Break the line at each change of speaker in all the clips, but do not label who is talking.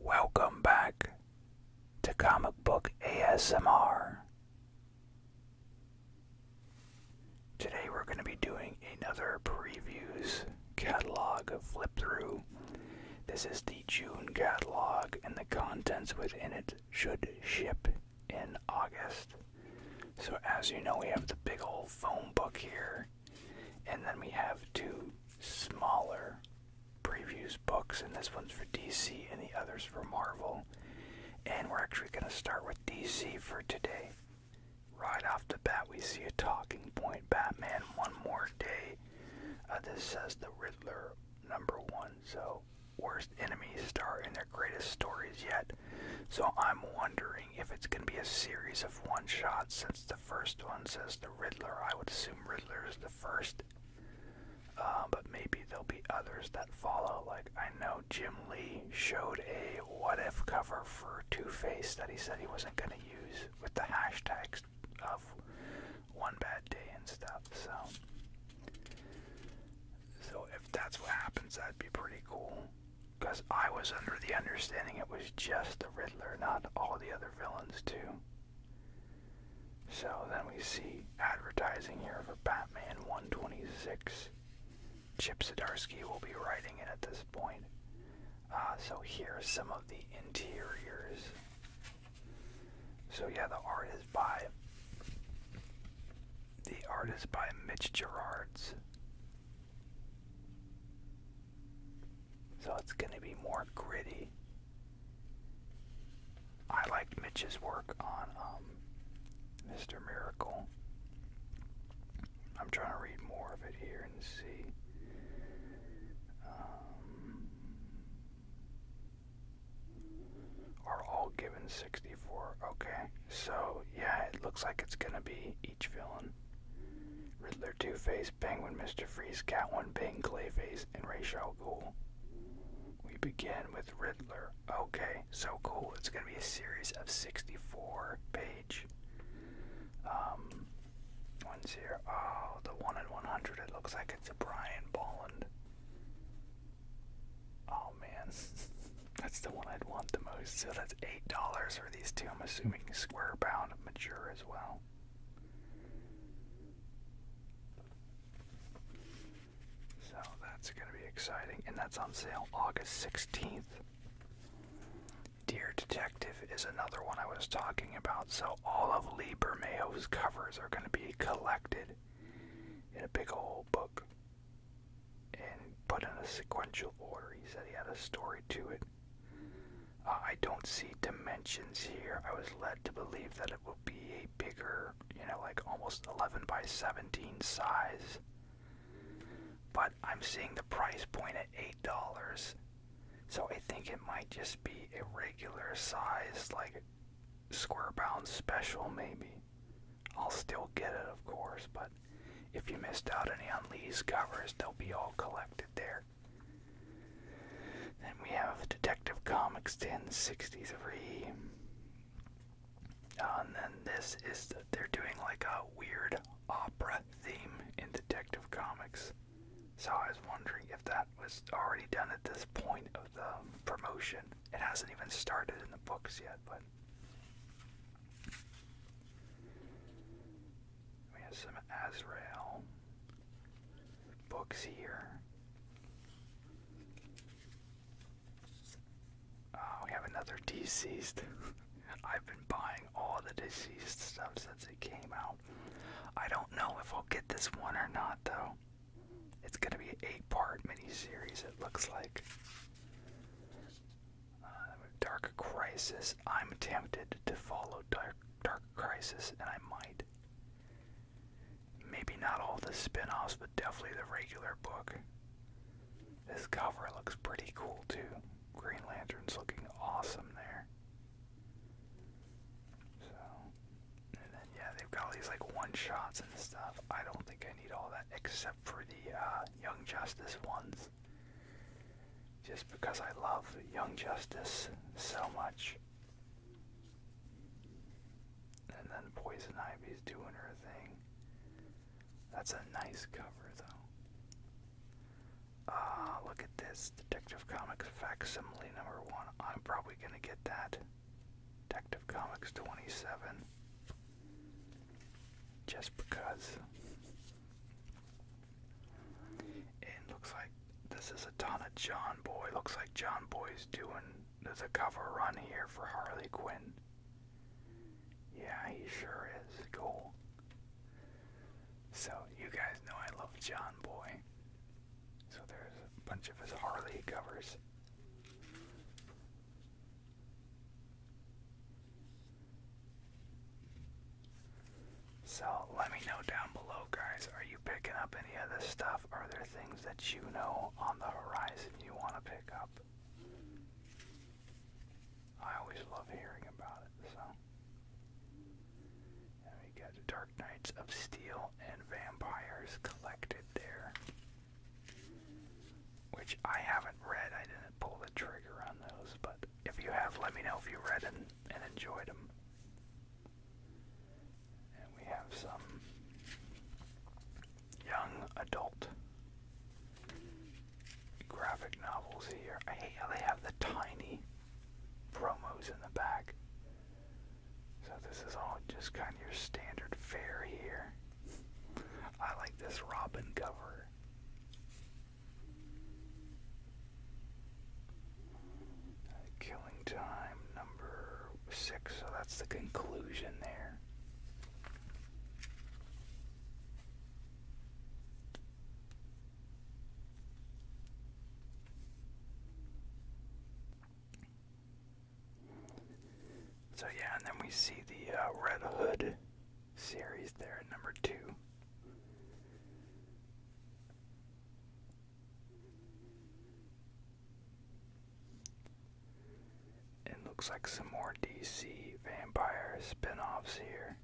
Welcome back to Comic Book ASMR. Today we're going to be doing another previews catalog flip through. This is the June catalog, and the contents within it should ship in August. So, as you know, we have the big old phone book here, and then we have two smaller previews books, and this one's for DC and the others for Marvel. And we're actually going to start with DC for today. Right off the bat, we see a talking point Batman One More Day. Uh, this says the Riddler number one, so worst enemies start in their greatest stories yet. So I'm wondering if it's going to be a series of one shots since the first one says the Riddler. I would assume Riddler is the first. Uh, but maybe there'll be others that follow. Like I know Jim Lee showed a what if cover for Two Face that he said he wasn't gonna use with the hashtags of one bad day and stuff. So, so if that's what happens, that'd be pretty cool. Cause I was under the understanding it was just the Riddler, not all the other villains too. So then we see advertising here for Batman 126. Chip Zdarsky will be writing it at this point. Uh, so here's some of the interiors. So yeah, the art is by the artist by Mitch Gerards. So it's going to be more gritty. I liked Mitch's work on Mr. Um, Miracle. I'm trying to read more of it here and see. Um, are all given 64. Okay, so yeah, it looks like it's gonna be each villain. Riddler, Two-Face, Penguin, Mr. Freeze, Catwoman, Bane, Clayface, and Ra's al Ghul. We begin with Riddler. Okay, so cool. It's gonna be a series of 64 page um, ones here. Oh, the one in 100. It looks like it's a Brian Bolland. Oh man, that's the one I'd want the most. So that's eight dollars for these two. I'm assuming square bound mature as well. So that's going to be exciting. And that's on sale August 16th. Dear Detective is another one I was talking about. So all of Lee Bermejo's covers are going to be collected in a big old book and put in a sequential order. He said he had a story to it. Uh, I don't see dimensions here. I was led to believe that it will be a bigger, you know, like almost 11 by 17 size. But I'm seeing the price point at $8. So I think it might just be a regular size, like square bound special, maybe. I'll still get it, of course, but if you missed out any on Lee's covers, they'll be all collected there. Then we have Detective Comics 1063. Uh, and then this is, they're doing like a weird opera theme in Detective Comics. So I was wondering if that was already done at this point of the promotion. It hasn't even started in the books yet, but. We have some Azrael books here. Uh, we have another deceased. I've been buying all the deceased stuff since it came out. I don't know if I'll get this one or not, though. It's gonna be an eight-part miniseries. It looks like. Uh, Dark Crisis. I'm tempted to follow Dark Dark Crisis, and I might. Maybe not all the spin offs, but definitely the regular book. This cover looks pretty cool too. Green Lantern's looking awesome there. So, and then yeah, they've got all these like one shots and stuff. I don't think I need all that except for the uh, Young Justice ones just because I love Young Justice so much. And then Poison Ivy's doing her thing. That's a nice cover, though. Ah, look at this Detective Comics facsimile number one. I'm probably gonna get that. Detective Comics 27. Just because. And looks like this is a ton of John Boy. Looks like John Boy's doing the cover run here for Harley Quinn. Yeah, he sure is cool. So you guys know I love John Boy. So there's a bunch of his Harley covers. So let me know down below, guys. Are you picking up any of this stuff? Are there things that you know on the horizon you want to pick up? I always love hearing about it, so. we got Dark Knights of Steel and Vampires collected there. Which I haven't read. I didn't pull the trigger on those, but if you have, let me know if you read it and enjoyed them. And we have some young adult graphic novels here. I hate how they have the tiny promos in the back. So this is all just kind of your standard fare here. I like this Robin cover. Killing time number six, so that's the conclusion there. So, yeah, and then we see the uh, Red Hood series there at number two. It looks like some more DC vampire spin offs here.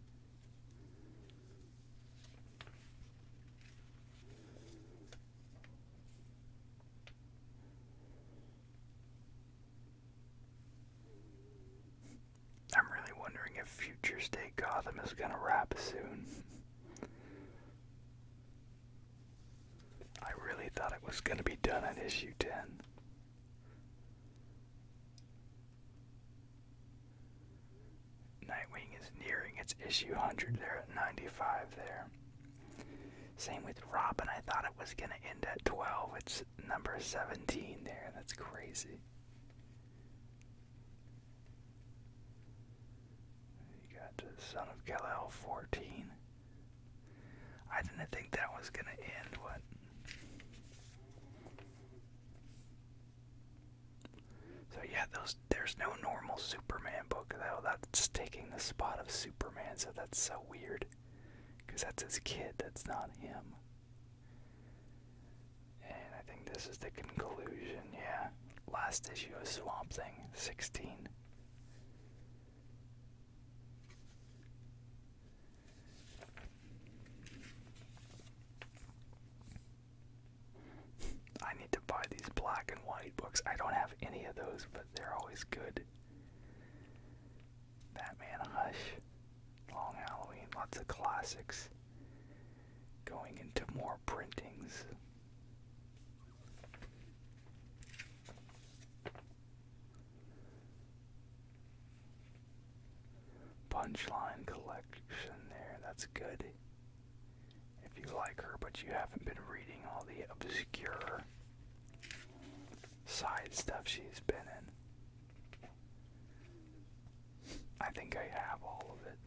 I'm really wondering if Future State Gotham is gonna wrap soon. I really thought it was gonna be done at issue 10. Nightwing is nearing its issue 100 there at 95 there. Same with Robin, I thought it was gonna end at 12. It's number 17 there, that's crazy. You got Son of Kal-El 14. I didn't think that was going to end, what? So yeah, those there's no normal Superman book though. That's taking the spot of Superman, so that's so weird. Cuz that's his kid, that's not him. And I think this is the conclusion, yeah. Last issue of Swamp Thing, 16. I need to buy these black and white books. I don't have any of those, but they're always good. Batman Hush, Long Halloween, lots of classics going into more printings. Punchline collection there, that's good. If you like her, but you haven't been reading all the obscure side stuff she's been in. I think I have all of it.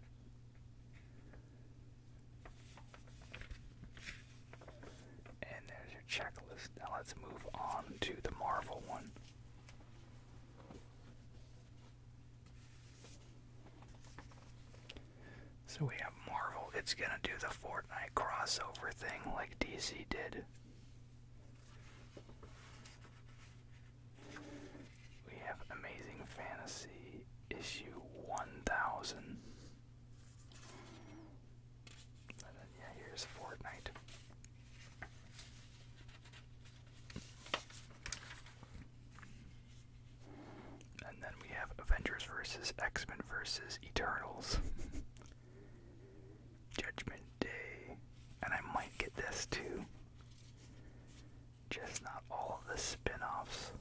And there's your checklist. Now let's move on to the Marvel one. So we have Marvel. It's going to do the Fortnite crossover thing like DC did. We have Amazing Fantasy issue 1000. yeah, here's Fortnite. And then we have Avengers versus X Men versus Eternals. Judgment Day. And I might get this too. Just not all of the spin offs.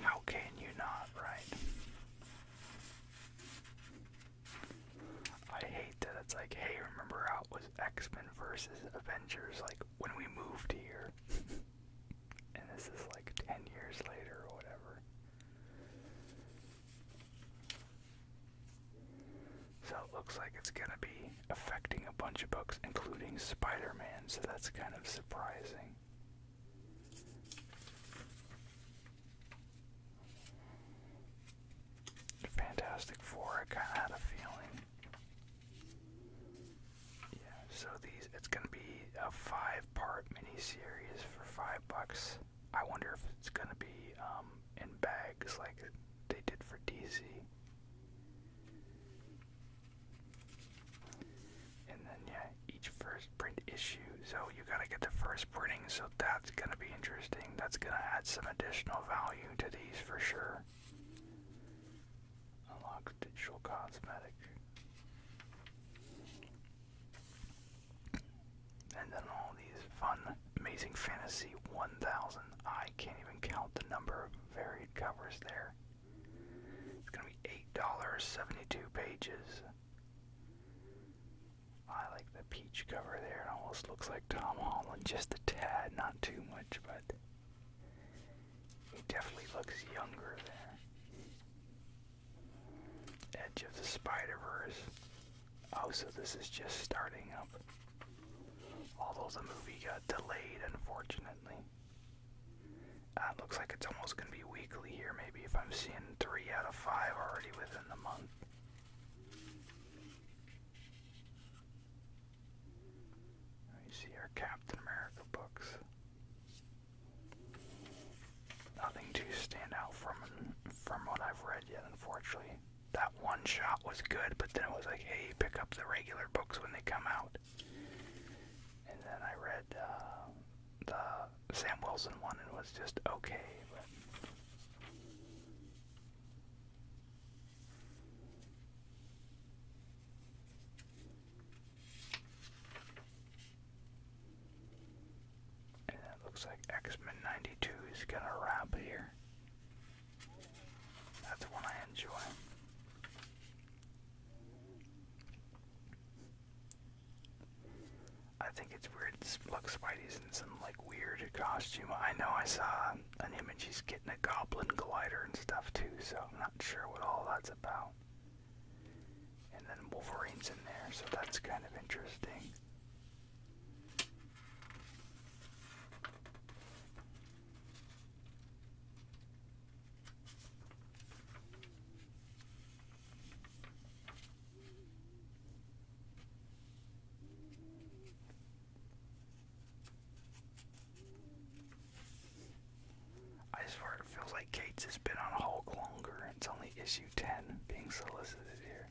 How can you not, right? I hate that it's like, hey, remember how it was X Men versus Avengers, like when we moved here? and this is like 10 years later or whatever. So it looks like it's going to be affecting a bunch of books, including Spider Man, so that's kind of surprising. Fantastic Four, I kind of had a feeling. Yeah, so these, it's going to be a five part miniseries for five bucks. I wonder if it's going to be um, in bags like they did for DC. And then, yeah, each first print issue. So you gotta get the first printing, so that's gonna be interesting. That's gonna add some additional value to these for sure. Unlock digital cosmetic and then all these fun, amazing fantasy 1000. I can't even count the number of varied covers there. It's gonna be eight dollars, seventy-two pages. I like the peach cover there. It almost looks like Tom Holland, just a tad, not too much, but he definitely looks younger there. Edge of the Spider Verse. Oh, so this is just starting up. Although the movie got delayed, unfortunately. Uh, it looks like it's almost going to be weekly here, maybe if I'm seeing three out of five already within the month. You see our Captain America books. Nothing to stand out from from what I've read yet, unfortunately that one shot was good, but then it was like, hey, pick up the regular books when they come out. And then I read uh, the Sam Wilson one and was just okay. But... And it looks like X Men 92 is going to wrap here. That's the one I enjoy. I think it's weird Look, Spidey's in some like weird costume. I know I saw an image he's getting a goblin glider and stuff too, so I'm not sure what all that's about. And then Wolverine's in there, so that's kind of interesting. I swear it feels like Gates has been on Hulk longer. It's only issue 10 being solicited here.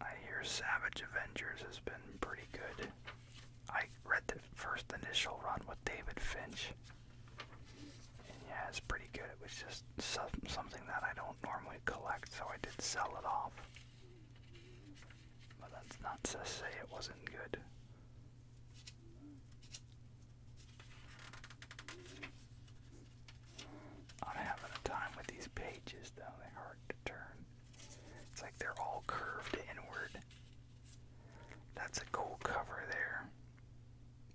I hear Savage Avengers has been pretty good. I read the first initial run with David Finch. And yeah, it's pretty good. It was just something that I don't normally collect, so I did sell it off. But that's not to say it wasn't good. I'm having a time with these pages though, they're hard to turn. It's like they're all curved inward. That's a cool cover there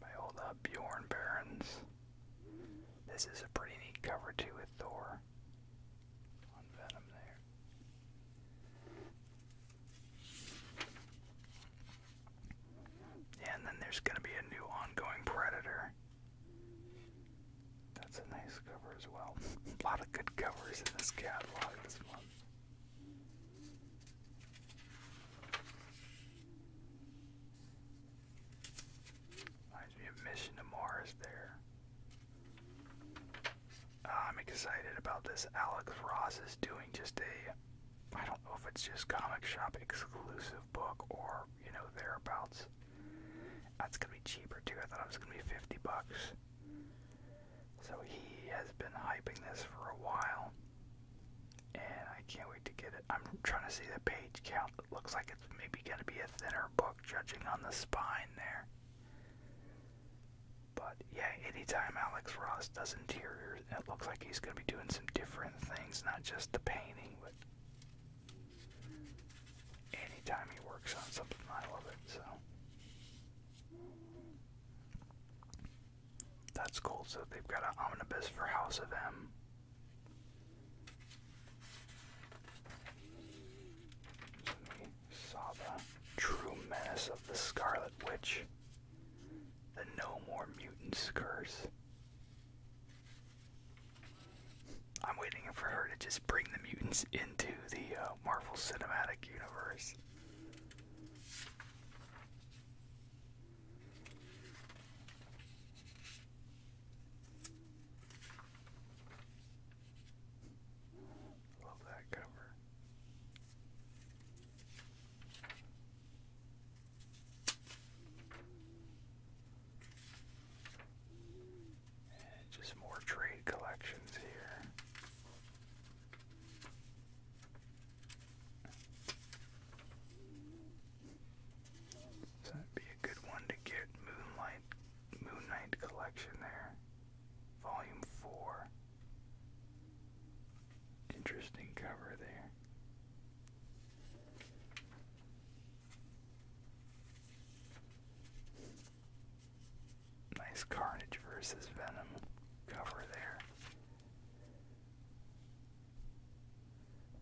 by old uh, Bjorn Barons. This is a pretty neat cover too with Thor and then there's going to be a new ongoing Predator. That's a nice cover as well. a lot of good covers in this catalog this month. Mission to Mars there. Ah, I'm excited about this. Alex Ross is doing just a, I don't know if it's just comic shop exclusive book or, you know, thereabouts. That's gonna be cheaper too. I thought it was gonna be 50 bucks. So he has been hyping this for a while. And I can't wait to get it. I'm trying to see the page count. It looks like it's maybe gonna be a thinner book judging on the spine there. But yeah, anytime Alex Ross does interiors, it looks like he's going to be doing some different things, not just the painting, but anytime he works on something, I love it. So that's cool. So they've got an omnibus for House of M. Saba, True Menace of the Scarlet Witch, The No More Mutants Curse. I'm waiting for her to just bring the mutants into the uh, Marvel Cinematic Universe. Love that cover. just more trade collections here. that'd be a good one to get Moonlight Moon Knight collection there. Volume 4. Interesting cover there. Nice Carnage versus Venom cover there.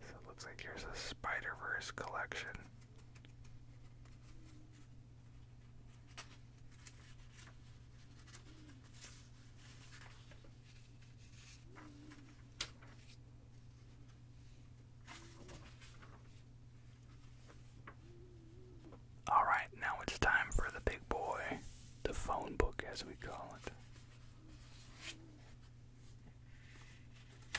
So it looks like here's a Spider Verse collection. All right, now it's time for the big boy, the phone book as we call it.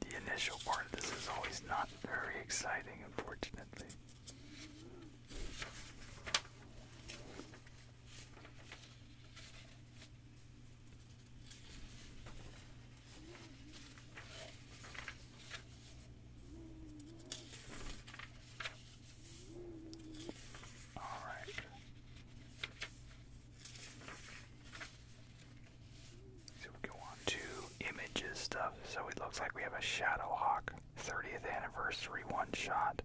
The initial part of this is always not very exciting, unfortunately. All right. So we go on to images stuff. So it looks like we have a Shadow Hawk 30th anniversary one shot.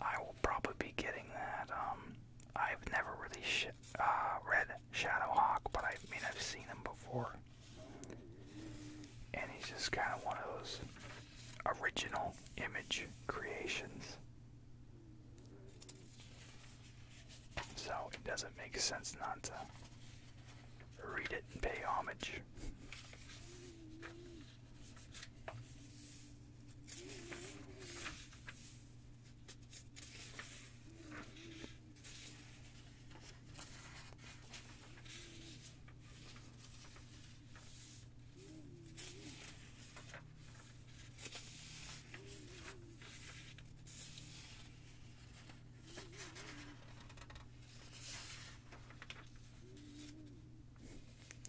I will probably be getting that. Um, I've never really sh uh, read Shadowhawk, but I mean I've seen him before. And he's just kind of one of those original image creations. So it doesn't make sense not to read it and pay homage.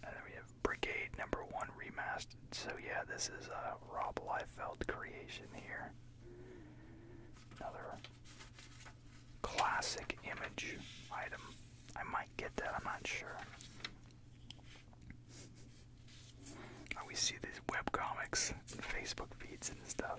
And then we have Brigade number one remastered. So yeah, this is a uh, Rob Liefeld creation here. Another classic image item. I might get that, I'm not sure. I see these web comics, Facebook feeds and stuff.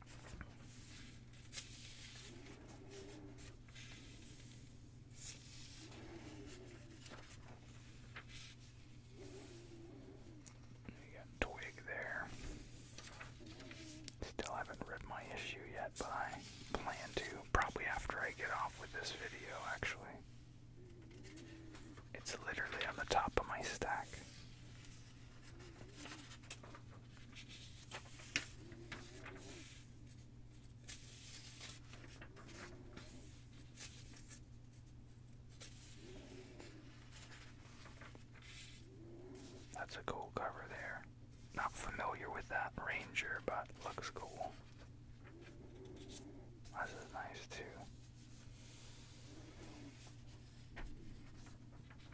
You got Twig there. Still haven't read my issue yet, but I plan to probably after I get off with this video, actually. It's literally on the top of my stack. That's a cool cover there. Not familiar with that ranger, but looks cool. This is nice too.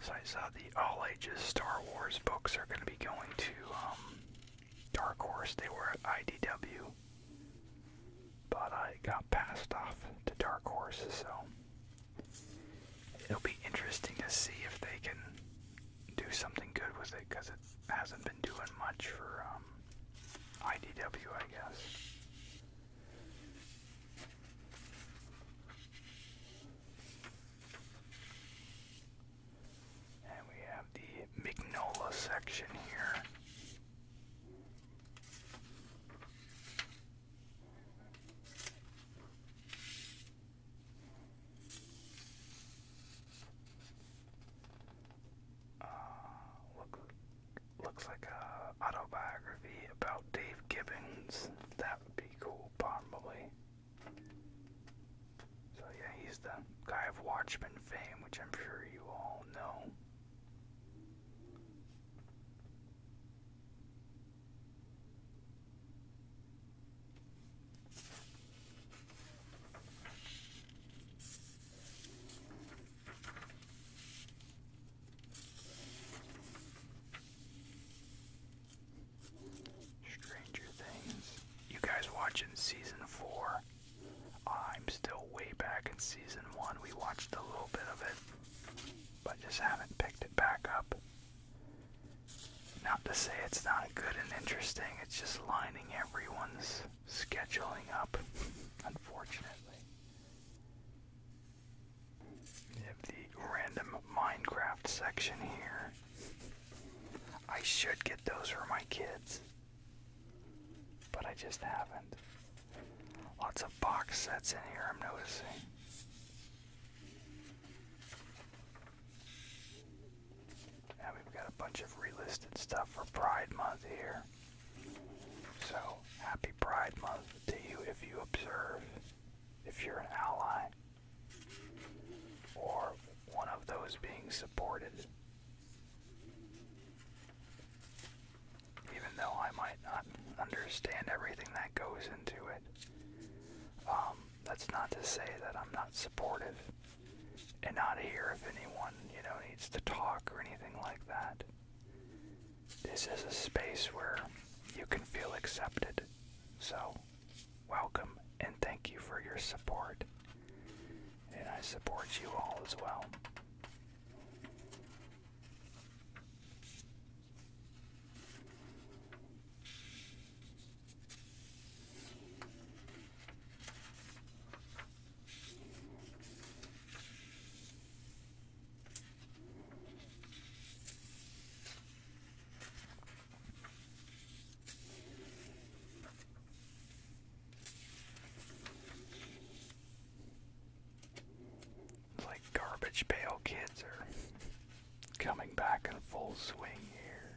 So I saw the all ages Star Wars books are going to be going to um, Dark Horse. They were at IDW, but I got passed off to Dark Horse, so it'll be interesting to see if they can do something good with it because it's hasn't been doing much for um, IDW, I guess. And we have the Mignola section here uh, look, looks like a autobiography about Dave Gibbons. That would be cool, probably. So yeah, he's the guy of Watchmen fame, which I'm sure you all know. Stranger Things. You guys watching season four? I'm still way back in season one. We watched a little bit of it, but just haven't picked it back up. Not to say it's not good and interesting, it's just lining everyone's scheduling up, unfortunately. the random Minecraft section here. I should get those for my kids, but I just haven't. Lots of box sets in here, I'm noticing. And we've got a bunch of relisted stuff for Pride Month here. So, happy Pride Month to you if you observe, if you're an ally, or one of those being supported. Even though I might not understand everything that goes into it, um, that's not to say that I'm not supportive and not here if anyone, you know, needs to talk or anything like that. This is a space where you can feel accepted. So, welcome and thank you for your support. And I support you all as well like garbage pail kids are coming back in full swing here.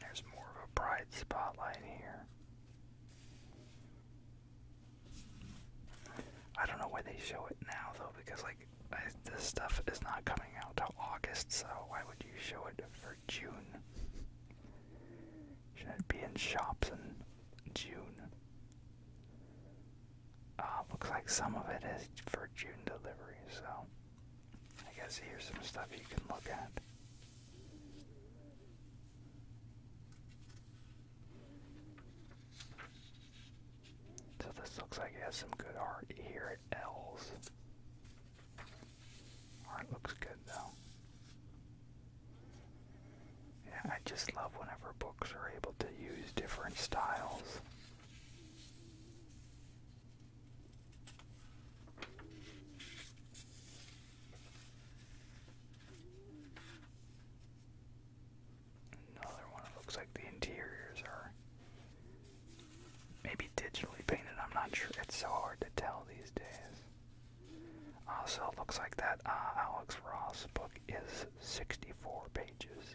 There's more of a bright spotlight here. I don't know why they show it now though, because like this stuff is not coming out till August, so why would you show it for June? Should it be in shops in June? Uh, looks like some of it is for June delivery, so I guess here's some stuff you can look at. So this looks like it has some good art here at L's. Art looks good though. Yeah, I just love whenever books are able to use different styles. Another one. It looks like the interiors are maybe digitally painted. I'm not sure. It's so hard to tell these days. Also, it looks like that uh, Alex Ross book is 64 pages.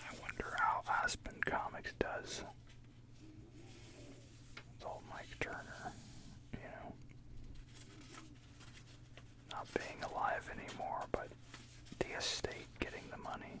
I wonder how Aspen Comics does old Mike Turner, you know, not being alive anymore, but the estate getting the money.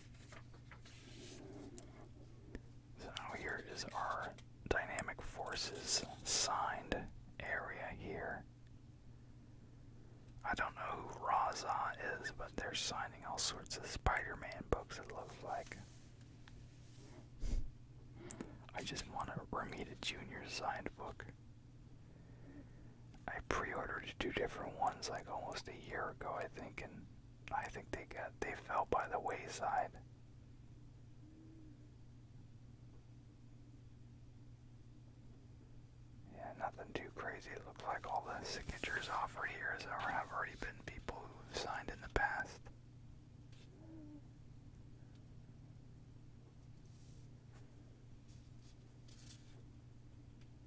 So here is our dynamic forces signed area here. I don't know who Raza is, but they're signing all sorts of Spider-Man books it looks like. I just want a Ramita Jr. signed book. I pre-ordered two different ones like almost a year ago I think and I think they got they fell by the wayside. Yeah, nothing too crazy. It looks like all the signatures offered here is, have already been people who've signed in the past.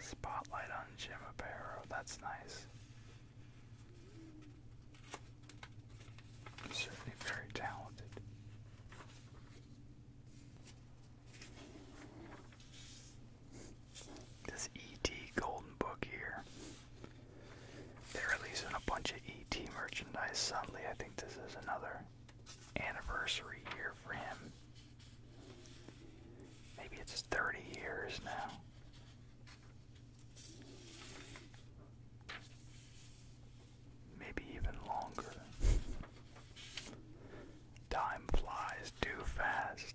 Spotlight on Jim Aparo, that's nice. Certainly very talented. This ET Golden Book here. They're releasing a bunch of ET merchandise suddenly. I think this is another anniversary year for him. Maybe it's 30 years now. Maybe even longer. Time flies too fast.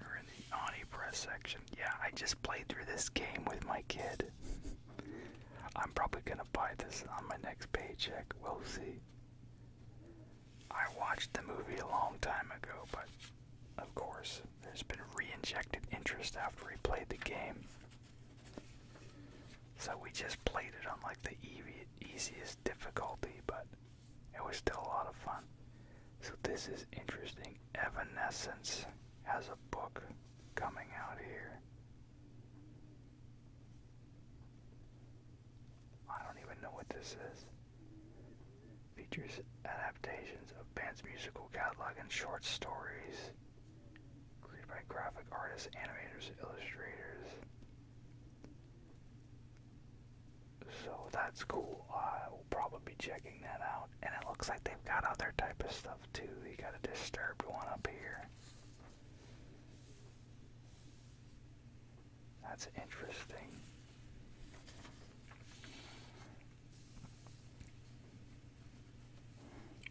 Or in the naughty press section. Yeah, I just played through this game with my kid. I'm probably gonna buy this on my next paycheck. We'll see. I watched the movie a long time ago, but of course, there's been re-injected interest after we played the game. So we just played it on like the easiest difficulty, but it was still a lot of fun. So this is interesting. Evanescence has a book coming out here. I don't even know what this is. Features adaptations of band's musical catalog and short stories. Created by graphic artists, animators, illustrators. So that's cool. I will probably be checking that out. And it looks like they've got other type of stuff too. You got a disturbed one up here. That's interesting.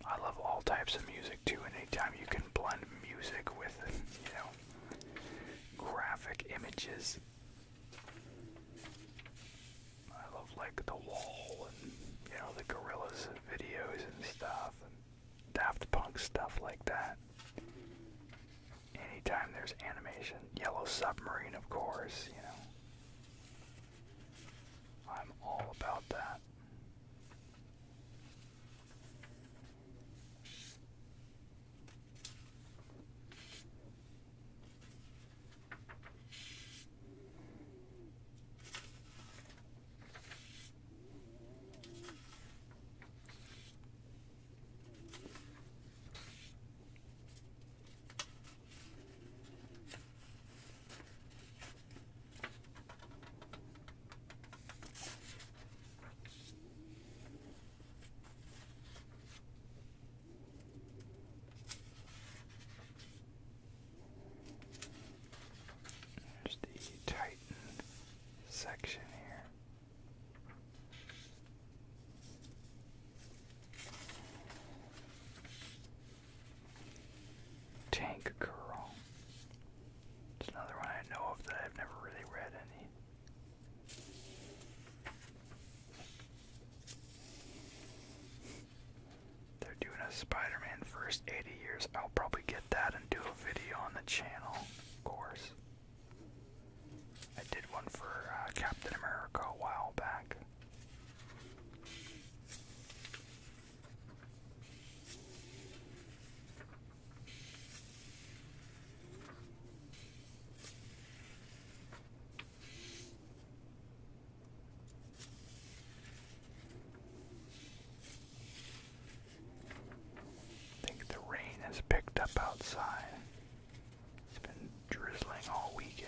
I love all types of music too, and anytime you can blend music with, you know, graphic images. I love like The Wall and, you know, the Gorillaz videos and stuff, and Daft Punk stuff like that. Anytime there's animation, Yellow Submarine, of course, you know. I'm all about that. There's the Titan section here. Tank Girl. It's another one I know of that I've never really read any. They're doing a Spider-Man first 80 years. I'll probably get that and do a video on the channel, of course. I did one for uh, Captain America a while back. I think the rain has picked up outside. It's been drizzling all weekend.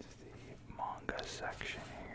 It's the manga section here.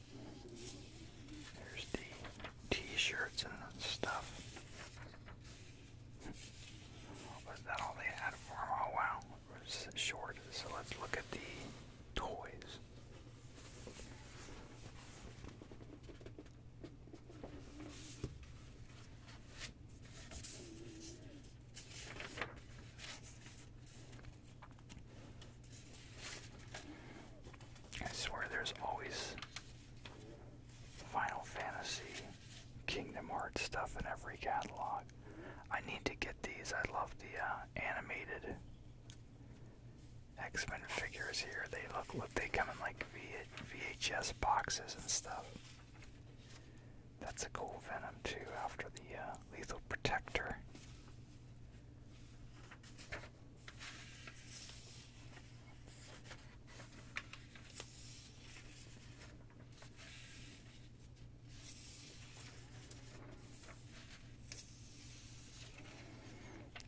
There's the t-shirts and stuff. Was that all they had for them? Oh wow, it was short. So let's look at the toys. I swear there's always Final Fantasy, Kingdom Hearts stuff in every catalog. I need to get these. I love the uh, animated X-Men figures here. They look look they come in like VHS boxes and stuff. That's a cool Venom too after the uh, Lethal Protector.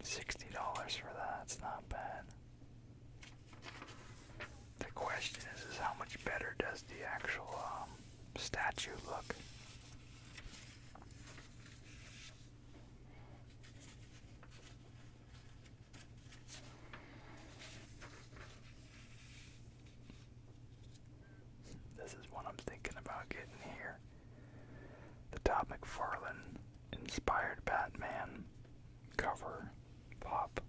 Sixty dollars for that, it's not bad. The question is is how much better does the actual um, statue look? This is what I'm thinking about getting here. The Todd McFarlane inspired Batman cover pop.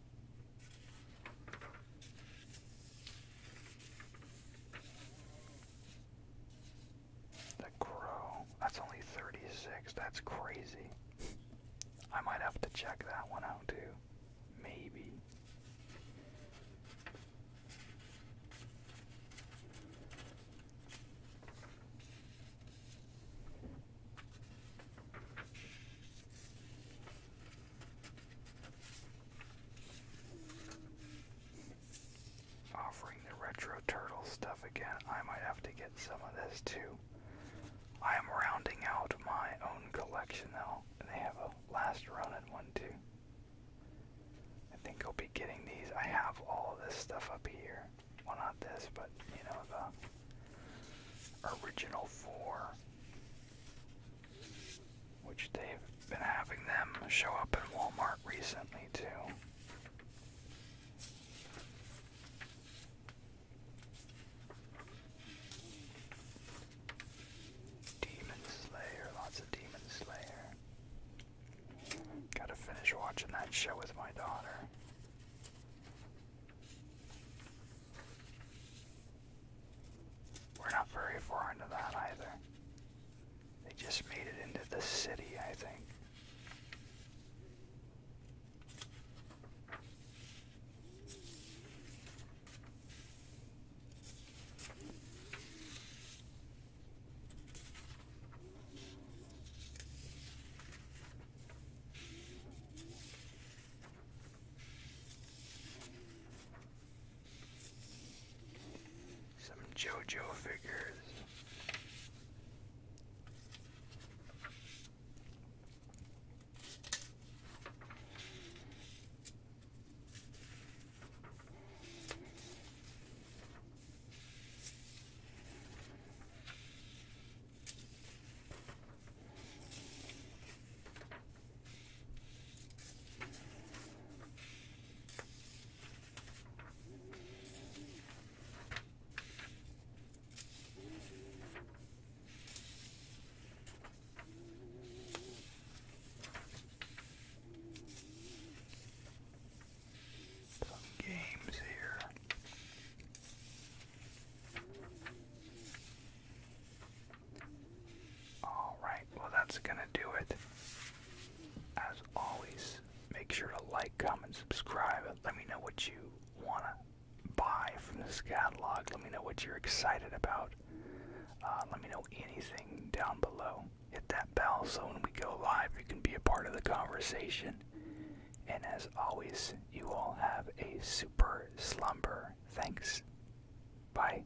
The Crow. That's only 36. That's crazy. I might have to check that one out too. Maybe offering the retro turtle stuff again. I might have to get some of this too. I am rounding out my own collection though, and they have a last run at one too. I think I'll be getting these. I have all this stuff up here. Well, not this, but you know the original four which they've been having them show up at Walmart recently too. Demon Slayer, lots of Demon Slayer. Gotta finish watching that show with my daughter. We're not very far into that either. They just made it into the city, I think. Some JoJo figures. Some games here. Alright, well, that's going to do it. As always, make sure to like, comment, subscribe. Let me know what you want to buy from this catalog. Let me know what you're excited about. Uh, let me know anything down below. Hit that bell so when we go live, you can be a part of the conversation. And as always, you all have a super slumber. Thanks. Bye.